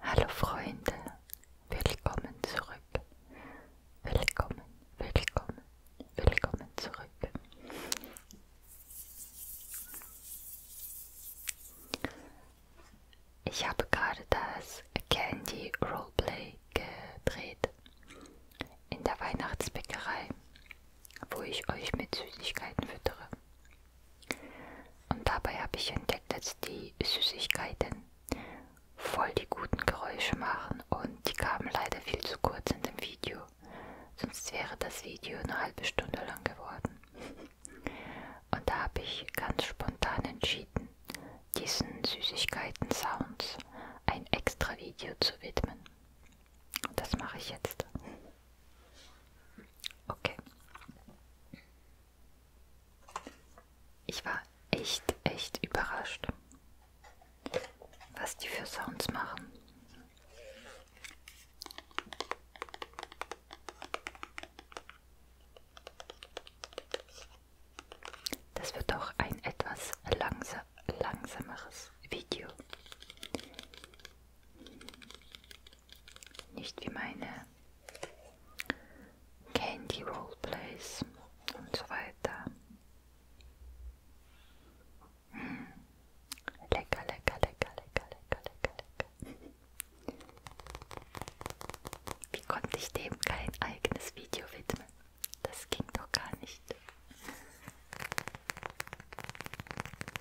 Hallo Freunde, willkommen zurück. Willkommen, willkommen, willkommen zurück. Ich habe gerade das Candy Roleplay gedreht in der Weihnachtsbäckerei, wo ich euch mit Süßigkeiten füttere. Und dabei habe ich entdeckt, dass die Süßigkeiten voll die guten Geräusche machen und die kamen leider viel zu kurz in dem Video. Sonst wäre das Video eine halbe Stunde lang geworden. Und da habe ich ganz spontan entschieden, diesen Süßigkeiten-Sounds ein extra Video zu widmen. Und das mache ich jetzt. Okay. Ich war echt, echt überrascht, was die für Sounds machen. Das wird doch ein etwas langsa langsameres Video. Nicht wie meine Candy Roleplays und so weiter. Hm. Lecker, lecker, lecker, lecker, lecker, lecker, lecker. Wie konnte ich dem kein eigenes Video widmen? Das ging doch gar nicht.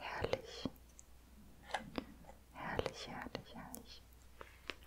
Herrlich. Herrlich, herrlich, herrlich.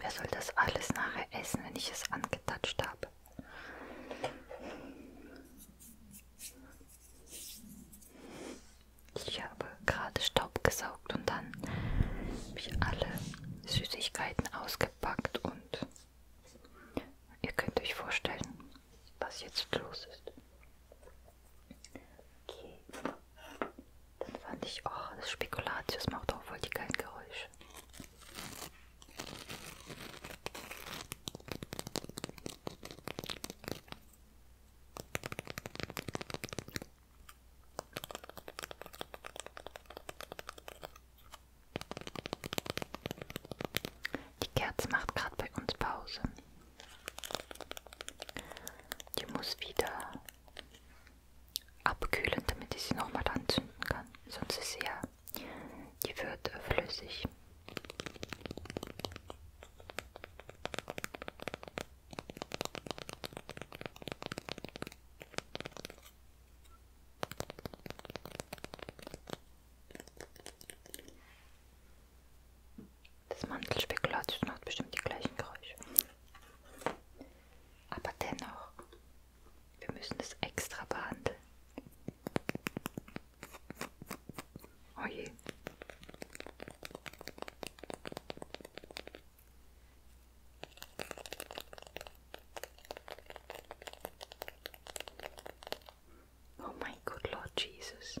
Wer soll das alles nachher essen, wenn ich es angetatscht habe? Ich habe gerade Staub gesaugt und dann habe ich alle Süßigkeiten ausgepackt und ihr könnt euch vorstellen, was jetzt los ist. Okay. Dann fand ich, oh, das Spekulatius macht auch voll die geilen Geräusche. Die Kerze macht gerade bei uns Pause. Die muss wieder abkühlen, damit ich sie nochmal anzünden kann. Sonst ist sie ja, die wird flüssig. Das Mandelspekulatius macht bestimmt die gleichen Geräusche. Aber dennoch, wir müssen es extra behandeln. Oh je. Oh my good Lord Jesus.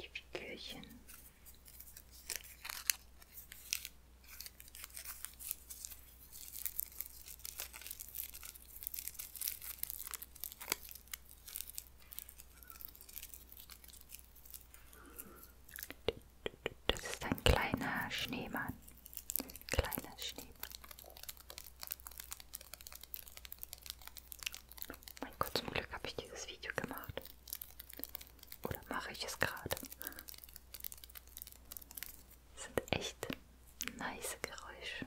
die Figürchen. Das ist ein kleiner Schneemann. Kleiner Schneemann. Mein Gott, zum Glück habe ich dieses Video gemacht. Oder mache ich es gerade? Sind echt nice Geräusche.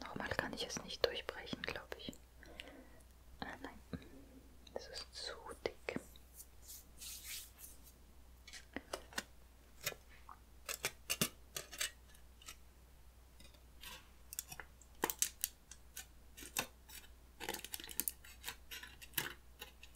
Nochmal kann ich es nicht durchbrechen, glaube ich. Ah, nein, es ist zu dick.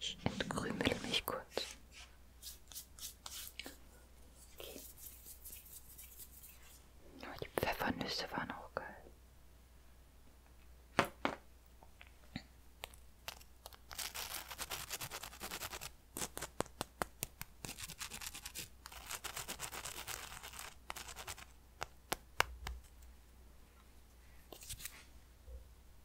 Ich entkrümel mich kurz. Okay. Oh, die Pfeffernüsse waren ook.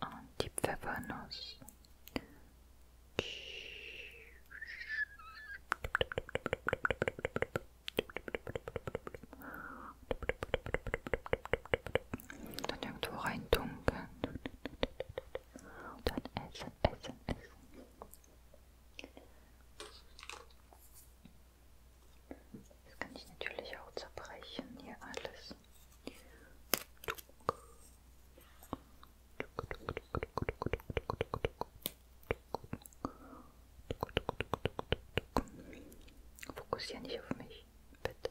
Und die Pfeffernuss. Dann irgendwo rein dunkeln. Und dann essen, essen, essen. Das kann ich natürlich auch zerbrechen hier alles. Fokussier nicht auf mich, bitte.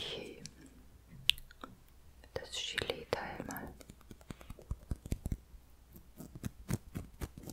Okay. Das Gelee-Teil mal.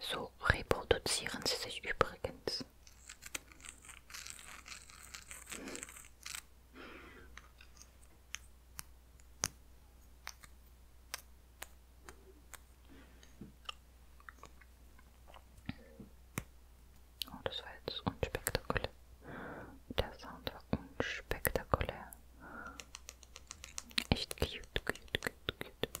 So reproduzieren sie sich übrigens ist. Oh, das war jetzt unspektakulär. Der Sound war unspektakulär. Echt cute, cute, cute, cute.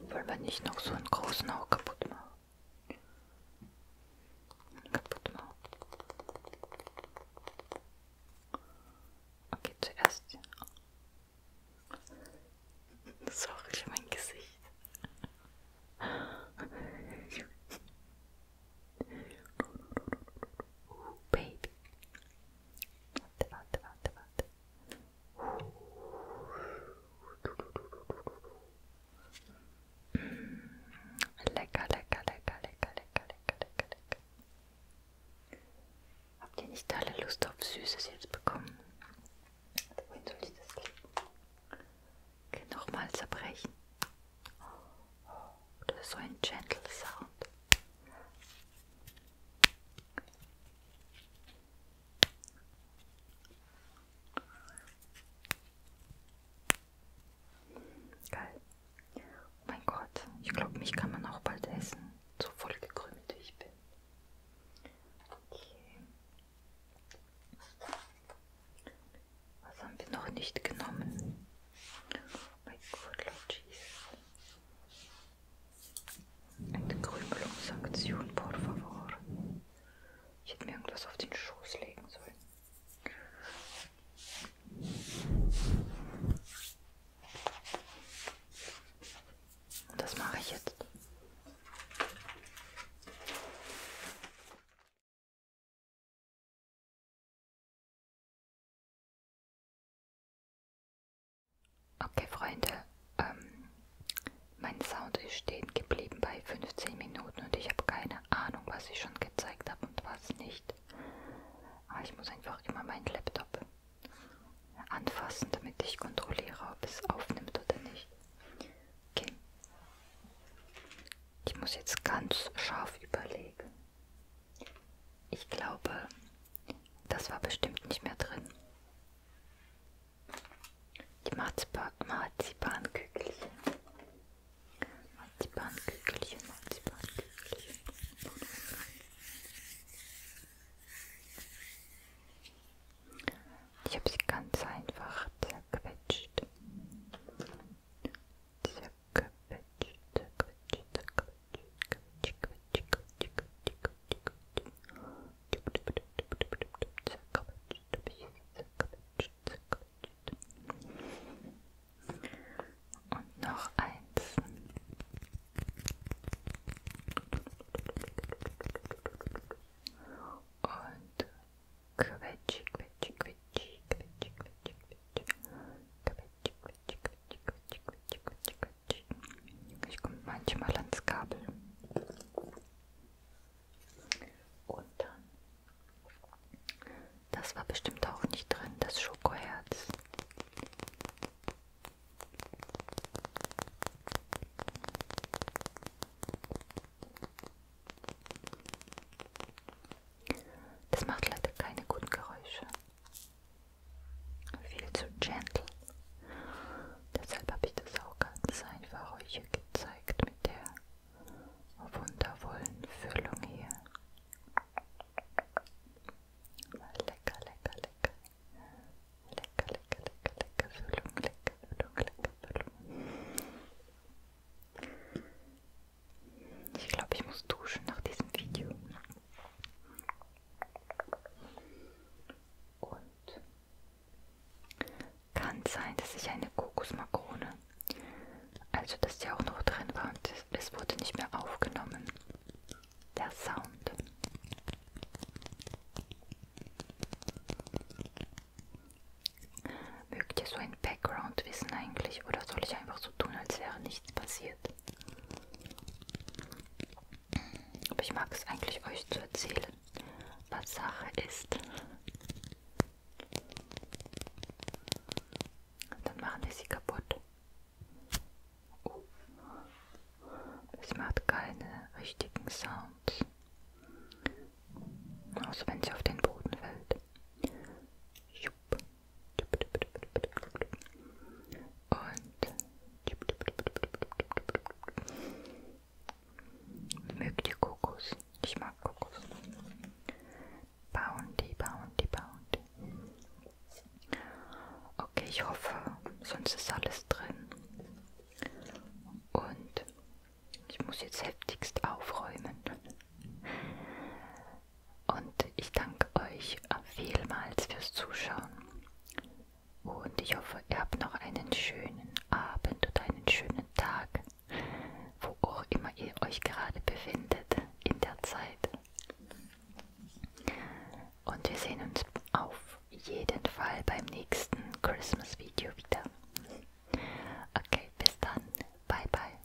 Wollen wir nicht noch so einen großen auch kaputt machen? Kaputt machen. Okay, zuerst. Sorry für mein Gesicht. Ooh, Baby. Warte, warte, warte, warte. Lecker, lecker, lecker, lecker, lecker, lecker, lecker, lecker. Habt ihr nicht alle Lust auf Süßes jetzt bekommen? Wohin soll ich das legen? Nochmal zerbrechen. Oh, das ist so ein gentle Sound. Geil. Oh mein Gott, ich glaube, mich kann man auch bald essen. So voll gekrümmt wie ich bin. Okay. Was haben wir noch nicht genommen? Oh mein Gott, Lord Jesus. Eine Krümelungsaktion, por favor. Ich hätte mir irgendwas auf den Schoß legen sollen. Das mache ich jetzt. Okay, Freunde, ähm, mein Sound ist stehen geblieben bei 15 Minuten und ich habe keine Ahnung, was ich schon gezeigt habe und was nicht. Aber ah, ich muss einfach immer meinen Laptop anfassen, damit ich kontrolliere, ob es aufnimmt oder nicht. Okay. Ich muss jetzt ganz scharf überlegen. Ich glaube, das war bestimmt nicht mehr drin. Die Marzipan Marzipankügelchen. Marzipankügelchen, Marzipankügelchen. Ich habe sie ganz einfach zerquetscht. Zerquetscht, zerquetscht, zerquetscht. Und noch eins. Und quetschi, quetschi, quetschi, quetschi, quetschi, quetschi, quetschi, quetschi, quetschi, quetschi, quetschi, quetschi, ich komme manchmal ans Kabel. Und dann, das war bestimmt auch nicht drin, das Schokoherz. Das macht leider keine guten Geräusche viel zu gentle. Deshalb habe ich das auch ganz einfach euch hier gezeigt mit der wundervollen Füllung hier. Lecker, lecker, lecker. Lecker, lecker, lecker, lecker Füllung, lecker Füllung, lecker Füllung. Ich glaube, ich muss duschen nach diesem Video. Und kann sein, dass ich eine Kokosmakrone, also dass die auch noch drin war und es wurde nicht mehr aufgenommen. Der Sound. Mögt ihr so ein Background wissen eigentlich oder soll ich einfach so tun, als wäre nichts passiert? Aber ich mag es eigentlich euch zu erzählen, was Sache ist. Dann machen wir sie kaputt. Oh. Es macht keine richtigen Sounds. Außer wenn sie auf den Boden fällt. Jupp. Und mögt ihr Kokos? Ich mag Kokos. Bounty, Bounty, Bounty. Okay, ich hoffe, sonst ist alles drin. Und ich muss jetzt heftigst aufräumen. Und ich danke euch vielmals fürs Zuschauen. Und ich hoffe, ihr habt noch einen schönen Abend oder einen schönen Tag, wo auch immer ihr euch gerade befindet in der Zeit. Und wir sehen uns auf jeden Fall beim nächsten Christmas-Video wieder. Okay, bis dann. Bye, bye.